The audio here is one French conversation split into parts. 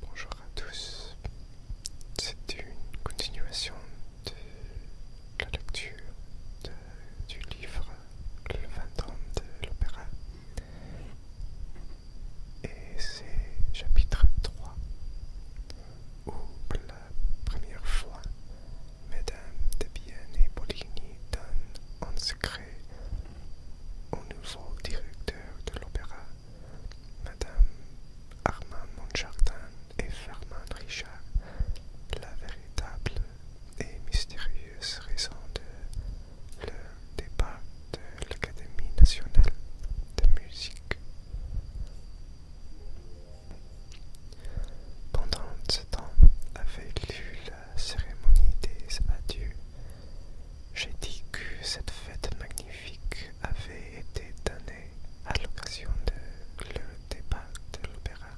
Bonjour à tous, C'est une continuation de la lecture du livre Le 20 de l'opéra et c'est chapitre 3 où pour la première fois Mesdames de et Bolligny donnent en secret au nouveau directeur de l'opéra, Madame Armand Montjardin et Fernand Richard, la véritable et mystérieuse raison de le débat de l'Académie nationale de musique. Pendant ce temps avait lieu cérémonie des adieux, j'ai dit que cette fête magnifique avait été donnée à l'occasion de le départ de l'opéra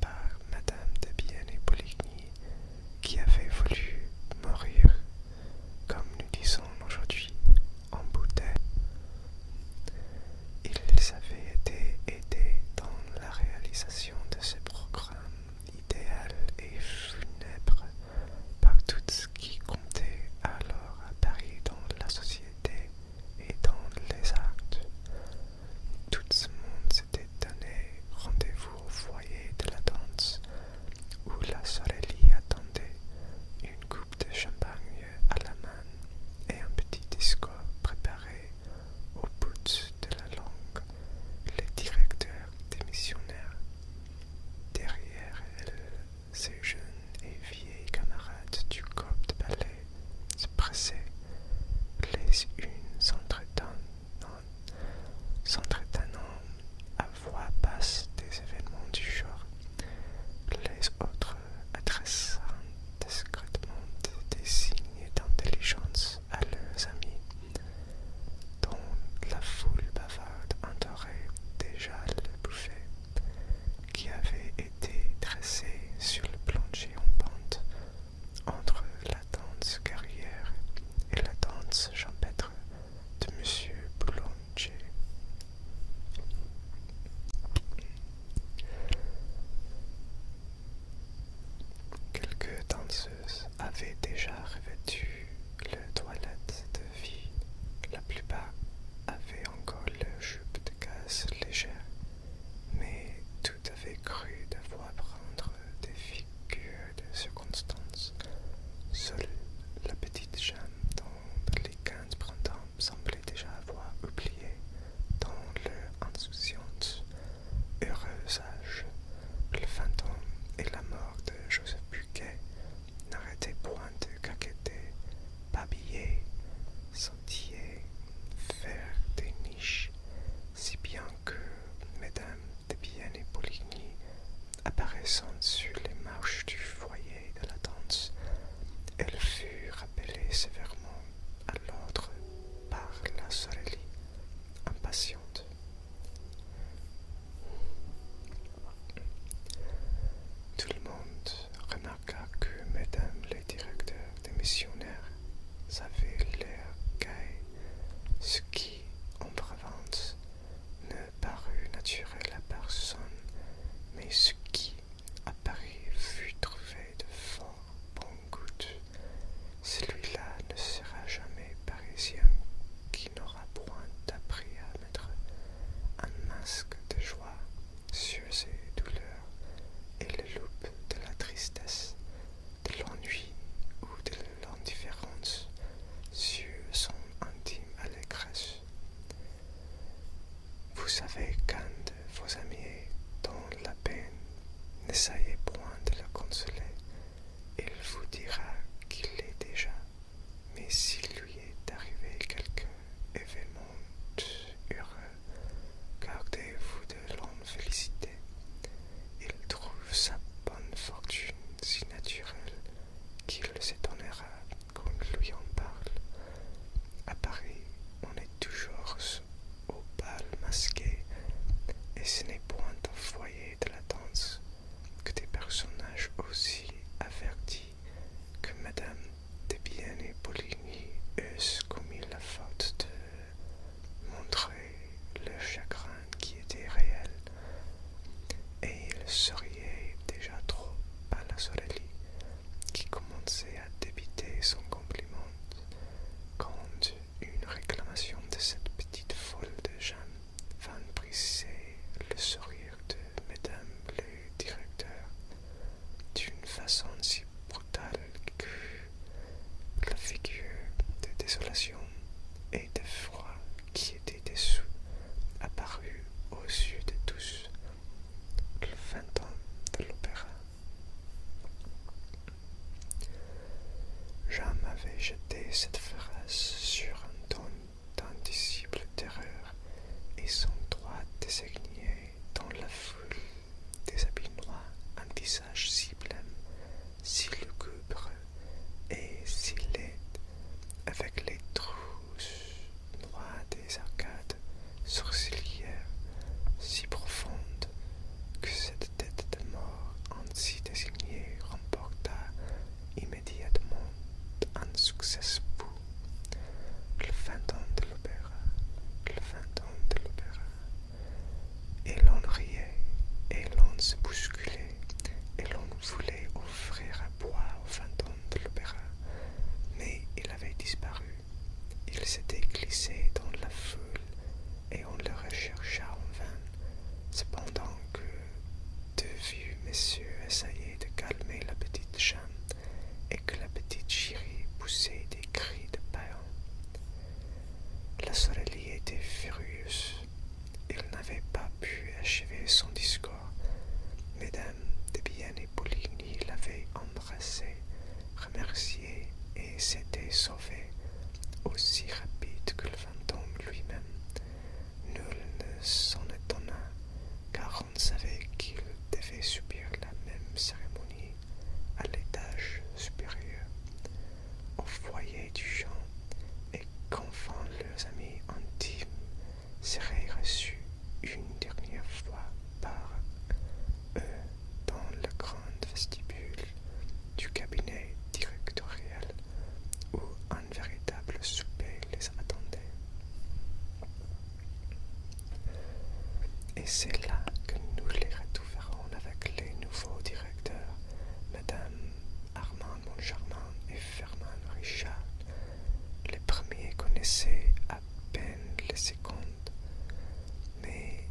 par Madame de et Poligny qui avait voulu mourir, comme nous disons aujourd'hui, en bouteille. Ils avaient été aidés dans la réalisation de ce programme idéal et funèbre par tout ce qui comptait alors à Paris dans la société et dans les actes. Tout ce monde s'était donné rendez-vous au foyer de la danse, où la Sorelli attendait, une coupe de champagne à la main et un petit discours préparé au bout de la langue les directeurs missionnaires, Derrière elle, ses jeunes et vieilles camarades du corps de ballet se pressaient, les unes s'entretenant à voix basse des événements du jour, les autres adressant discrètement des signes d'intelligence à leurs amis dont la foule bavarde entourait déjà le bouffet qui avait été dressé sur le plancher en pente entre la danse carrière et la danse champêtre de Monsieur Boulanger. Quelques danseuses avait déjà revêtu le toilette de vie. La plupart avaient encore leur jupe de gaz légère, mais tout avait cru devoir prendre des figures de circonstance. Seule la petite jambe dont les quinze printemps semblaient déjà avoir oublié dans leur Heureux âge, le fantôme et la mort de Joseph Buquet n'arrêtaient point de caqueter, babiller, sentier, faire des niches, si bien que mesdames de bien et Poligny, apparaissant sur les marches du foyer de la danse, elle fut rappelée sévèrement à l'ordre par la sorelli, impatiente. Tout le monde remarqua que mesdames les directeurs des missionnaires avaient l'air ce qui, en prévente, ne parut naturel à personne, mais ce qui, à Paris, fut trouvé de fort bon goût. Celui-là ne sera jamais parisien qui n'aura point appris à mettre un masque de joie sur ses douleurs et le loup de la tristesse, de l'ennui ou de l'indifférence sur son intime allégresse. Vous savez qu'un de vos amis dans la peine, n'essayez point de le consoler, il vous dira qu'il l'est déjà. Mais s'il lui est arrivé quelque événement heureux, gardez-vous de l'en féliciter. Il trouve sa bonne fortune si naturelle qu'il s'étonnera qu'on lui en parle. À Paris, on est toujours au bal masqué, et ce n'est point un foyer de la danse que des personnages aussi avertis que Madame bien et Poligny eussent commis la faute de montrer le chagrin qui était réel, et ils se riaient déjà trop à la Sorelli, qui commençait à débiter son compliment, quand une réclamation de cette petite folle de Jeanne vint briser le sourire de Madame le directeur d'une façon si brutale que la figure de désolation et de froid qui était dessous apparut aux yeux de tous le fantôme de l'opéra. Jean m'avait jeté cette phrase sur un ton d'indicible terreur, et son droit désignait dans la foule des habits noirs un visage si blême, si lugubre et si laid, avec les trous noirs des arcades sourcilières si profondes que cette de tête de mort ainsi désignée remporta immédiatement un succès fou. Le fantôme de l'opéra, le fantôme de l'opéra. Et l'on riait, et l'on se bousculait, et l'on voulait offrir un bois au fantôme de l'opéra, mais il avait disparu. Il s'était glissé dans la foule et on le rechercha en vain, cependant que deux vieux messieurs essayaient de calmer la petite Jeanne et que la petite Chérie poussait des cris de peur. La sorelle était furieuse. Il n'avait pas pu achever son discours. Mesdames de Bienne et Poligny l'avaient embrassée, remerciée, et s'étaient sauvées aussi rapide que le fantôme lui-même. Nul ne s'en étonna, car on savait qu'il devait subir la même cérémonie à l'étage supérieur, au foyer du champ, et qu'enfin leurs amis intimes seraient reçus une dernière fois par eux dans le grand vestibule du cabinet directoriel, où un véritable souper les attendait. Et c'est là que nous les retrouverons avec les nouveaux directeurs, Madame Armand Montcharmin et Fernand Richard. Les premiers connaissaient à peine les secondes, mais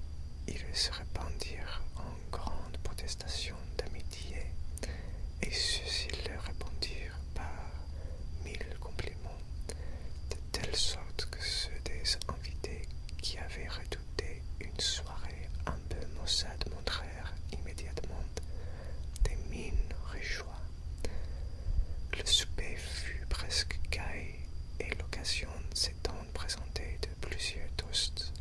ils se répandirent en grandes protestations d'amitié, et ceux-ci leur répondirent par mille compliments, de telle sorte que ceux des invités qui avaient redouté une soirée un peu maussade montrèrent immédiatement des mines réjouies. Le souper fut presque gai et l'occasion s'étant présenté de plusieurs toasts.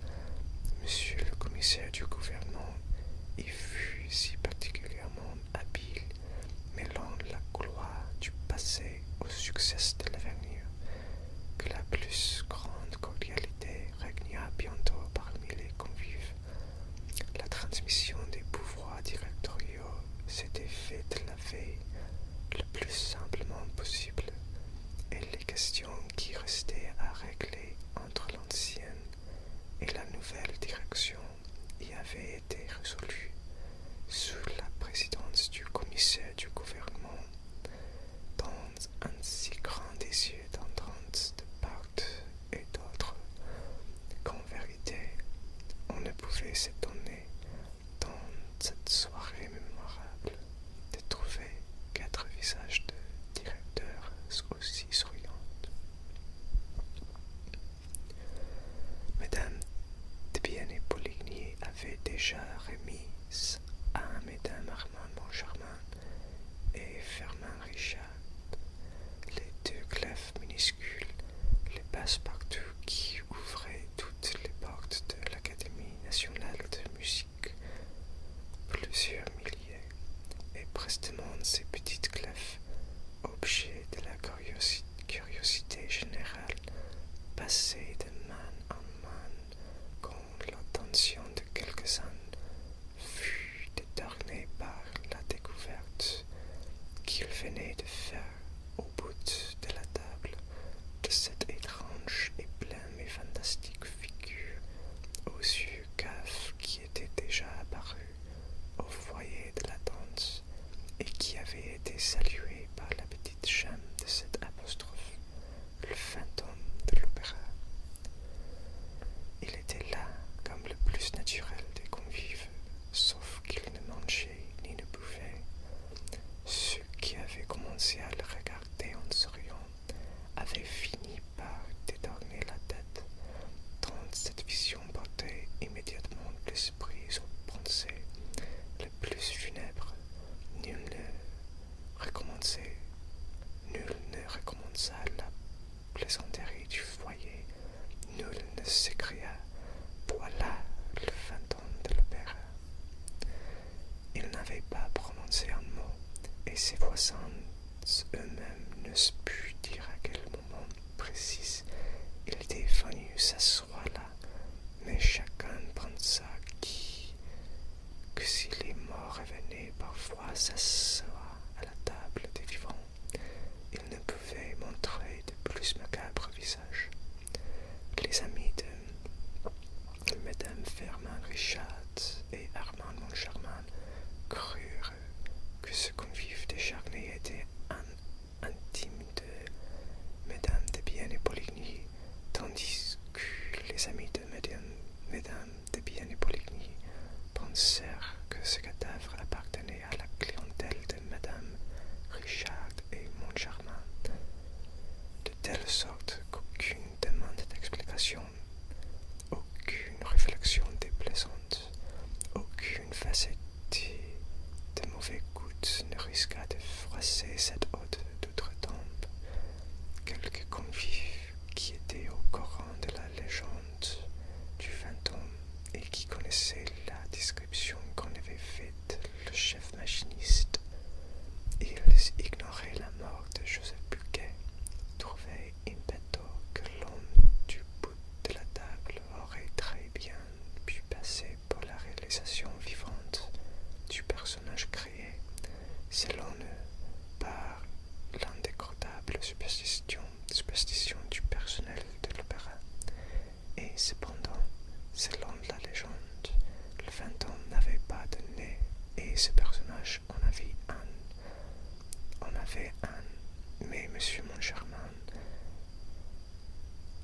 Monsieur le commissaire du gouvernement y fut si particulièrement habile, mêlant la gloire du passé au succès de l'avenir, que la plus grande cordialité régna bientôt parmi les convives. La transmission des pouvoirs directoriaux s'était faite la veille le plus simplement possible, et les questions qui restait à régler entre l'ancienne et la nouvelle direction y avait été résolu sous la présidence du commissaire du gouvernement dans un si grand désir de part et d'autres. qu'en vérité on ne pouvait s'étonner dans cette soirée mémorable de trouver quatre visages de directeurs aussi souriants. Madame de et Poligny avait déjà remis à Mesdames Armand Montcharmin et fermin Richard les deux clefs minuscules, les passe-partout qui ouvraient toutes les portes de l'Académie nationale de musique plusieurs milliers, et prestement ces petites clefs, objet de la curiosité générale, passées de man en man quand l'attention de quelques-uns fut détournée par la découverte qu'ils venaient de faire au bout de la table de cette étrange et pleine mais fantastique figure aux yeux caves qui était déjà apparu au foyer de la danse et qui avait été salué par la petite chaîne de cette apostrophe, le fantôme de l'opéra. Il était là comme le plus naturel des convives, sauf qu'il ne mangeait ni ne bouffait. Ceux qui avaient commencé à le regarder en souriant avait fini par détourner la tête, tant cette vision portait immédiatement l'esprit aux pensées le plus funèbres. Nul ne recommençait, nul ne recommença la plaisanterie du foyer, nul ne s'écria Voilà le fantôme de l'opéra. Il n'avait pas prononcé un mot, et ses voisins eux-mêmes ne pu dire à quel moment précis il était venu s'asseoir là, mais chacun pensa qui, que si les morts revenaient parfois s'asseoir à la table des vivants, ils ne pouvaient montrer de plus macabre visage. Les amis de Mme fermin Richard et Armand Moncharmin crurent que ce convive décharné était un intime de Mme de Bienne et Poligny, tandis que les amis de Mme de Bienne et Poligny pensèrent que ce cadavre appartenait à la clientèle de Mme Richard et Moncharmin de telle sorte qu'aucune demande d'explication, aucune réflexion déplaisante, aucune facette de mauvais gouttes ne risqua de froisser cette haute doutre temps Quelques convives qui étaient au courant de la légende du fantôme et qui connaissaient la description qu'en avait faite le chef machiniste ils ignoraient la mort de Joseph Buquet, trouvaient impétueux que l'homme du bout de la table aurait très bien pu passer pour la réalisation vivante du personnage créé, selon eux, par l'indécrottable superstition, superstition du personnel de l'opéra. Et cependant, selon la légende, le ans n'avait pas de nez et ce personnage en avait un. On avait un. Mais Monsieur Moncharmin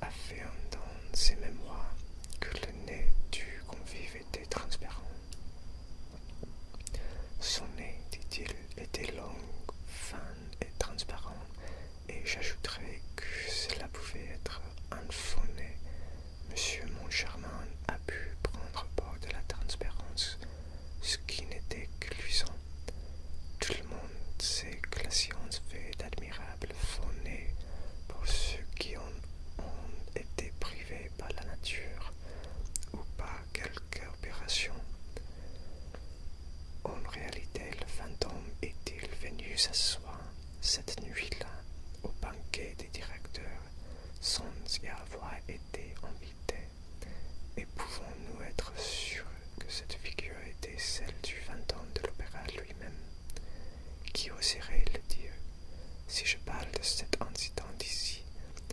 affirme dans ses mémoires que le nez du convive était transparent. Son nez, dit-il, était long, fin et transparent, et j'ajouterai que cela pouvait être un faux nez Monsieur Moncharmin a pu prendre part de la transparence, ce qui n'était que luisant. Tout le monde sait que la science fait d'admirables faux pour ceux qui en ont été privés par la nature ou par quelque opération. En réalité, le fantôme est-il venu s'asseoir cette nuit-là au banquet des directeurs y avoir été invité, et pouvons-nous être sûrs que cette figure était celle du fantôme de l'opéra lui-même Qui oserait le dire Si je parle de cet incident d'ici,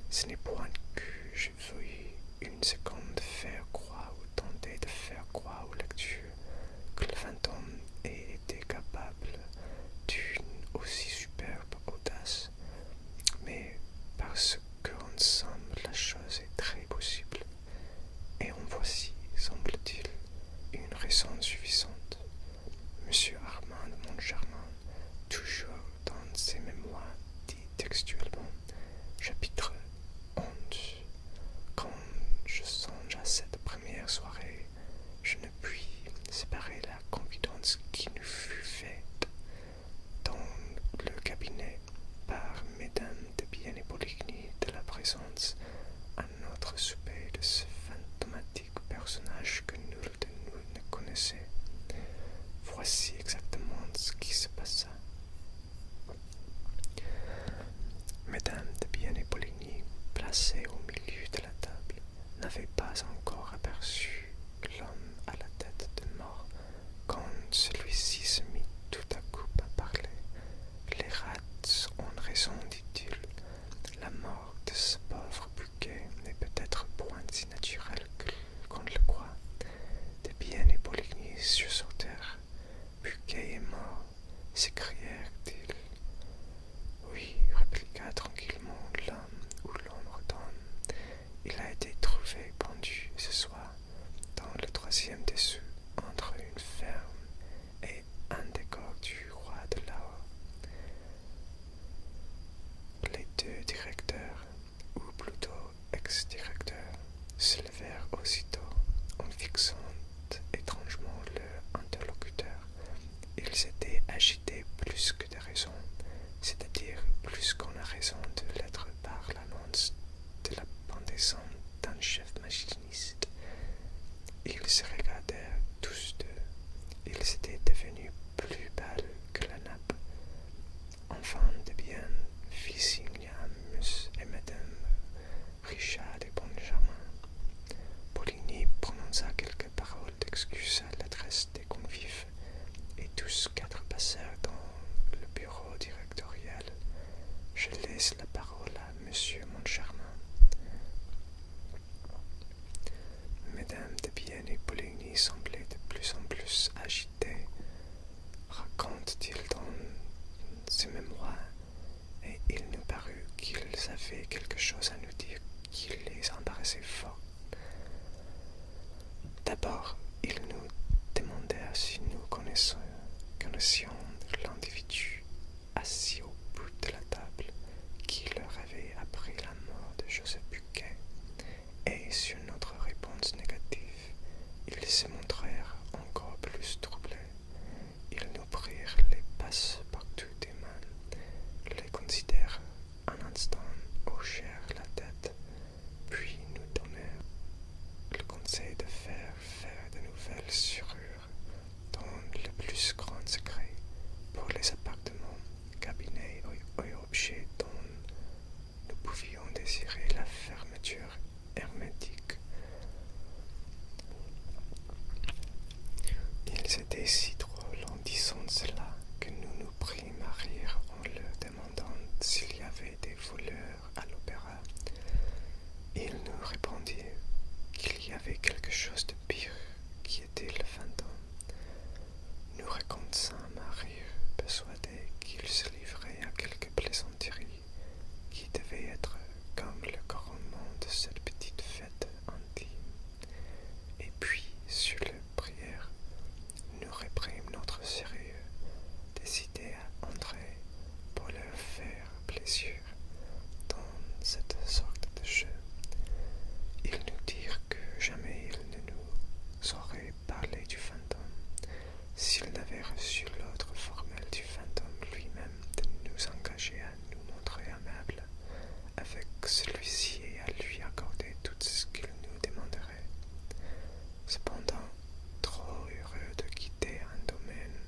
ce n'est point que je veuille une seconde faire croire ou tenter de faire croire aux lecteurs que le fantôme ait été capable d'une aussi superbe audace, mais parce qu'ensemble, la chose est très possible, et en voici, semble-t-il, une raison suffisante. Monsieur Armand de Montgermain, toujours dans ses mémoires, dit textuellement, chapitre 11, quand je songe à cette première soirée je ne puis séparer la confidence qui nous fut faite dans le cabinet par mesdames de Bienne et de la présence à notre souper de ce fantomatique personnage que nul de nous ne connaissait. Voici exactement ce qui se passa. Mesdames de Bienne et Poligny, placées au milieu de la table, n'avait pas encore aperçu l'homme à la tête de mort quand celui-ci se mit tout à coup à parler. Les rats ont raison, dit-il. La mort de ce pauvre Buquet n'est peut-être point si naturelle qu'on le croit. Des bien et sur terre. Buquet est mort, s'écrièrent-ils oui, répliqua tranquillement l'homme où l'ombre tombe. Il a été trouvé pendu ce soir dans le troisième dessous entre une ferme et un décor du roi de Lao. Les deux directeurs, ou plutôt ex-directeurs, se levèrent aussitôt en fixant étrangement leur interlocuteur. Ils étaient agités plus que de raison, c'est-à-dire plus qu'on a raison de l'être par l'annonce de la pendaison d'un chef machiniste. Ils se regardèrent tous deux. Ils étaient devenus plus belles que la nappe. Enfin de bien fils et Madame Richard et Benjamin. Poligny prononça quelques Parole d'excuse d'excuses à l'adresse des convives, et tous quatre passèrent dans le bureau directorial. Je laisse la parole à Monsieur Moncharmin. Mesdames de Bienne et Poligny semblaient de plus en plus agitées. Raconte-t-il dans ses mémoires et il nous parut qu'ils avaient quelque chose à nous dire qui les embarrassait fort. D'abord, ils nous demandèrent si nous connaissions l'individu assis au bout de la table qui leur avait appris la mort de Joseph Buquet, et sur notre réponse négative, ils se montrèrent encore plus troublés ils nous prirent les passe-partout des mains, les considèrent un instant, hochèrent la tête, puis nous donnèrent le conseil de faire faire de nouvelles serrures dans le plus grand secret pour les appartements, cabinets et objets dont nous pouvions désirer la fermeture hermétique c'était si drôle en disant cela que nous nous prîmes à rire en le demandant s'il y avait des voleurs à l'opéra. Il nous répondit qu'il y avait quelque chose de pire qui était le fantôme. Nous racontâmes à rire, persuadés qu'il se livrait à quelque plaisanterie qui devait être comme le couronnement de cette petite fille. Et puis, sur le prière, nous réprime notre sérieux, décidé à entrer pour leur faire plaisir dans cette sorte de jeu. Ils nous dirent que jamais ils ne nous auraient parlé du fantôme s'ils n'avaient reçu l'ordre formel du fantôme lui-même de nous engager à nous montrer amables avec celui-ci et à lui accorder tout ce qu'il nous demanderait. Cependant, trop heureux de quitter un domaine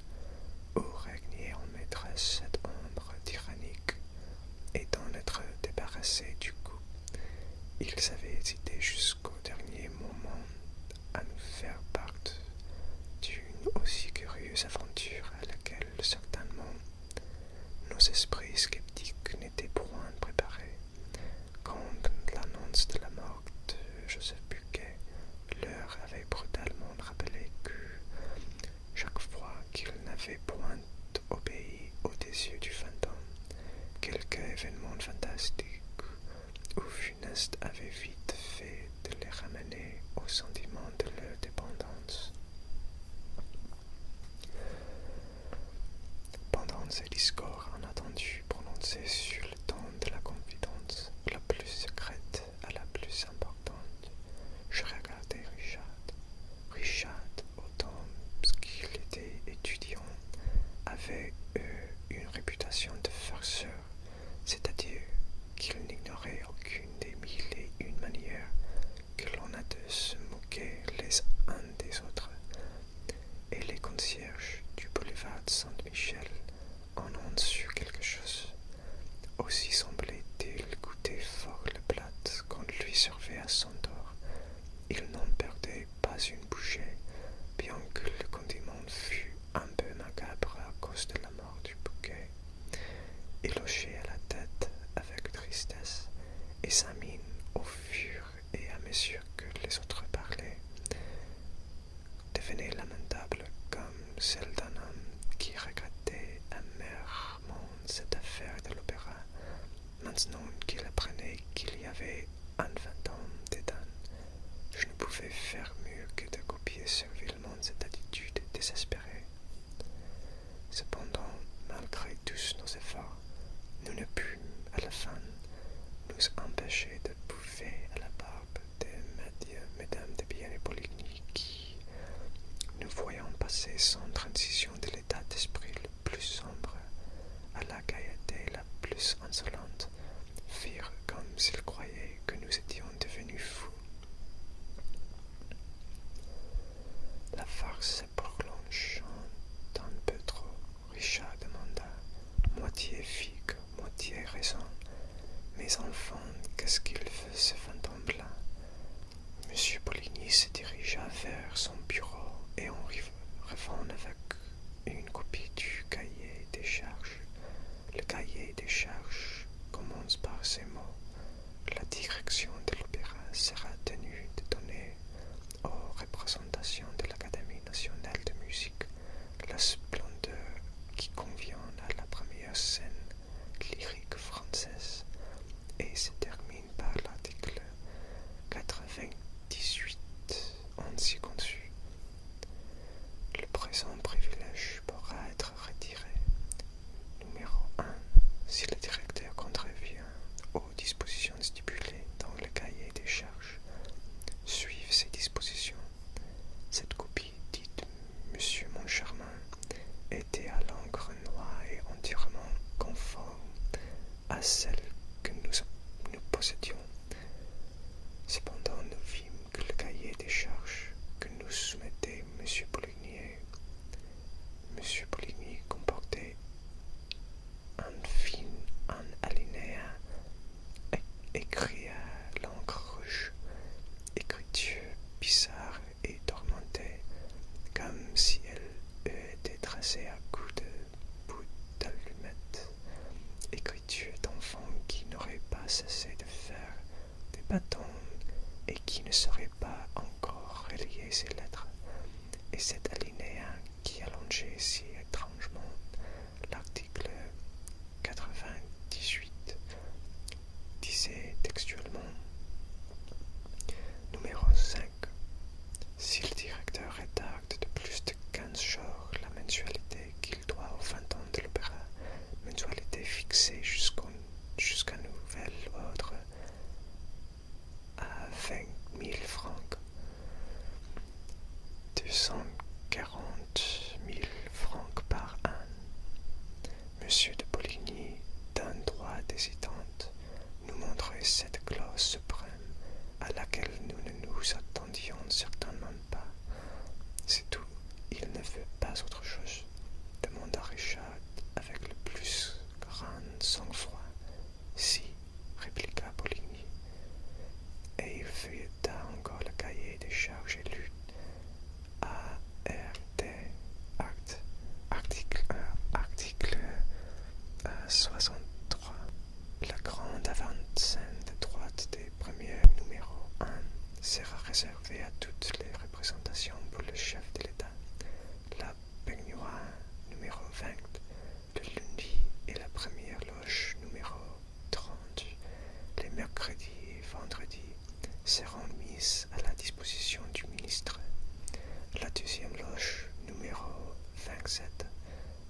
où régnait en maîtresse cette ombre tyrannique, et d'en être débarrassé du coup, ils avaient hésité jusqu'au dernier moment à nous faire part d'une aussi curieuse aventure à laquelle certainement nos esprits sceptiques n'étaient point préparés quand l'annonce de la mort de Joseph Buquet leur avait brutalement rappelé que, chaque fois qu'ils n'avaient point obéi aux désirs du fantôme, quelque événement fantastique ou funeste avait vite fait de les ramener au sentiment de leur dépendance. Pendant ces discours inattendu prononcé sur le temps de la confidence la plus secrète à la plus importante, je regardais Richard. Richard, autant qu'il était étudiant, avait euh, une réputation de farceur, c'est-à-dire qu'il n'ignorait aucune des mille et une manières que l'on a de se moquer les uns des autres, et les concierges du boulevard Saint-Michel en ont su quelque chose. Aussi semblait-il goûter fort le plat qu'on lui servait à son tort. Il n'en perdait pas une bouchée, bien que le condiment fût un peu macabre à cause de la du bouquet, éloché à la tête avec tristesse, et sa mine au fur et à mesure que les autres parlaient devenait lamentable comme celle d'un homme qui regrettait amèrement cette affaire de l'opéra, maintenant qu'il apprenait qu'il y avait un fantôme d'éden, Je ne pouvais faire mieux que de copier ce cette attitude désespérée. Cependant, malgré tous nos efforts, nous ne pûmes à la fin nous empêcher de bouffer à la barbe des mesdames de bien et Poligny qui, nous voyant passer sans transition de l'état d'esprit le plus sombre à la gaieté la plus insolente, firent comme s'ils croyaient que nous étions devenus fous. La farce pour prolongeant un peu trop, Richard demanda, moitié figue, moitié raison. Mes enfants, qu'est-ce qu'il veut, ce fantôme-là Monsieur Poligny se dirigea vers son bureau et en revint avec une copie du cahier des charges. Le cahier des charges commence par ces mots la direction de l'opéra sera tenue de donner aux représentations de l'Académie nationale de musique la splendeur qui convient à la première scène lyrique française et se termine par l'article 98 ainsi conçu. Le présent privilège pourra être retiré Numéro 1. Si le directeur contrevient aux dispositions stipulées dans le cahier des charges, suivez ces dispositions. Cette copie dite Monsieur Moncharmin était à l'encre noire et entièrement conforme à celle que nous, nous possédions. Cependant, nous vîmes que le cahier des charges que nous soumettait M. Monsieur Poligny comportait un fin un alinéa écrit à l'encre rouge, écriture bizarre et tourmentée, comme si elle eût été tracée à coups de bout d'allumette, écriture d'enfant qui n'aurait pas cessé de faire des bâtons, et qui ne serait pas encore relier ces lettres, et cette alinéa qui allongeait si étrangement l'article 98 disait textuellement Numéro 5. Si le directeur rédacte de plus de 15 jours la mensualité qu'il doit au 20 ans de l'opéra, mensualité fixée jusqu'au jusqu'à nouvel ordre à vingt mille francs, deux cent quarante francs par an. Monsieur de Poligny, d'un droit d'hésitante, nous montrait cette clause suprême à laquelle nous ne nous attendions certainement pas. C'est tout. Il ne veut pas autre chose demanda Richard avec le plus grand sang-froid. Si, répliqua Poligny. Et il feuilleta encore le cahier des charges élues. ART, acte, article, article 63. La grande avant de droite des premiers numéros 1 sera réservée à toutes les présentation pour le chef de l'État, la peignoir numéro 20 le lundi et la première loge numéro 30 les mercredis et vendredis seront mises à la disposition du ministre. La deuxième loge numéro 27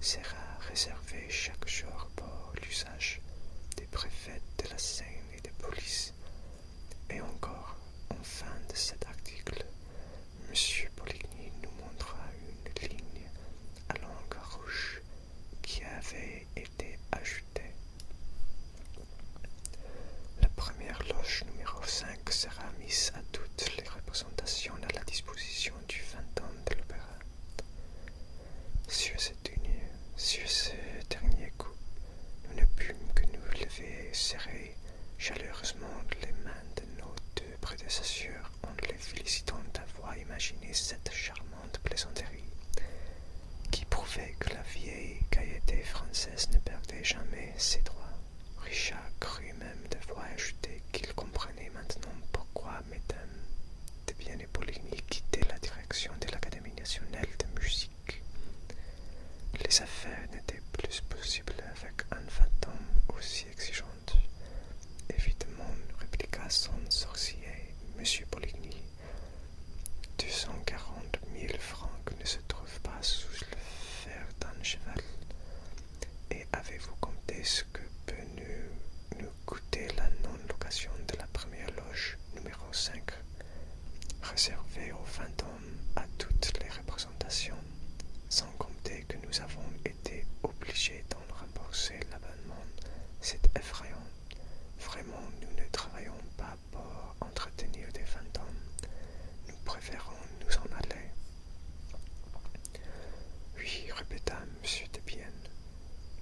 sera réservée chaque jour pour l'usage des préfets de la Seine et des police. Et encore, en fin de cet article, M. Poligny nous montra une ligne à langue rouge qui avait été ajoutée. La première loge numéro 5 sera mise à toutes les représentations à la disposition du 20 ans de l'opéra. Sur cette tenue, sur ce dernier coup, nous ne pûmes que nous lever et serrer chaleureusement les mains de nos deux prédécesseurs en les félicitant d'avoir imaginé cette charmante plaisanterie qui prouvait que la vieille gaieté française ne perdait jamais ses droits. Richard crut même devoir ajouter qu'il comprenait maintenant pourquoi Mesdames de Bien et quittaient la direction de l'Académie nationale de musique les affaires n'étaient plus possibles avec un fantôme aussi exigeant. Évidemment, répliqua son sorcier, Monsieur Poligny. « 240 cent mille francs ne se trouvent pas sous le fer d'un cheval. Et avez-vous compté ce que peut nous coûter la non-location de la première loge numéro 5, réservé aux fantômes à toutes les représentations, sans compter que nous avons été obligés d'en rembourser l'abonnement. C'est effrayant. Vraiment, nous ne travaillons pas pour entretenir des fantômes. Nous préférons nous en aller. Oui, répéta M. Debienne,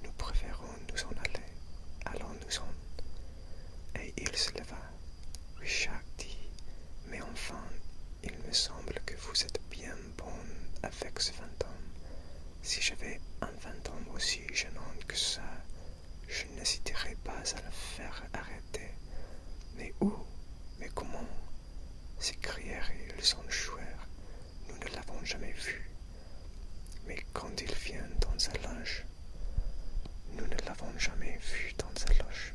nous préférons nous en aller, allons-nous en. Et il se leva. Richard dit Mais enfin, il me semble que vous êtes bien bon avec ce fantôme. Si j'avais un fantôme aussi gênant que ça, je n'hésiterais pas à le faire arrêter. Mais où Mais comment s'écrièrent ils en jouer. Nous ne l'avons jamais vu mais quand il vient dans sa loge, nous ne l'avons jamais vu dans sa loge.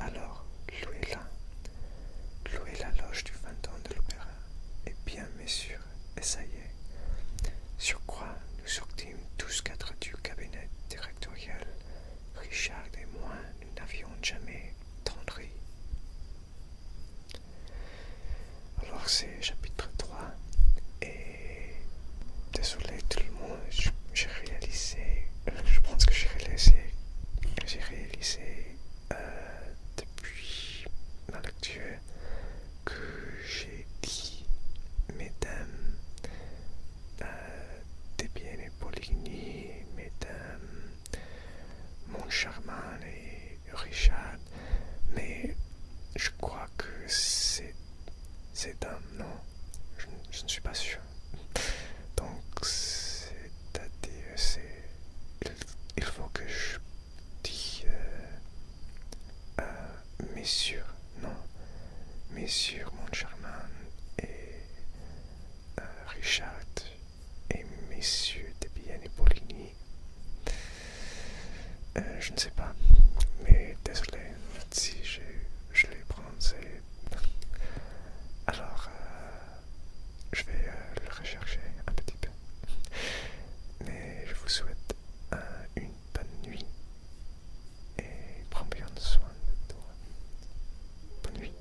Alors, louez-la, louez la loge du fantôme de l'opéra, et eh bien, messieurs, est. Sur quoi nous sortîmes tous quatre du cabinet directoriel, Richard et moi, nous n'avions jamais tendri. Alors c'est chapitre 3. Et désolé tout le monde, j'ai réalisé, je pense que j'ai réalisé, j'ai réalisé euh, depuis l'actuel que j'ai dit mesdames euh, Debienne et Poligny, mesdames Montcharmin et Richard, mais je crois que c'est c'est un non, Je, ne suis pas sûr. Donc c'est à c'est il, faut que je dise euh, euh, messieurs non messieurs Montcharmin et euh, Richard et messieurs de et Poligny euh, je ne sais pas, mais désolé si je l'ai prononcé. Alors, euh, je vais euh, le rechercher un petit peu. Mais je vous souhaite une bonne nuit et prends bien soin de toi. Bonne nuit.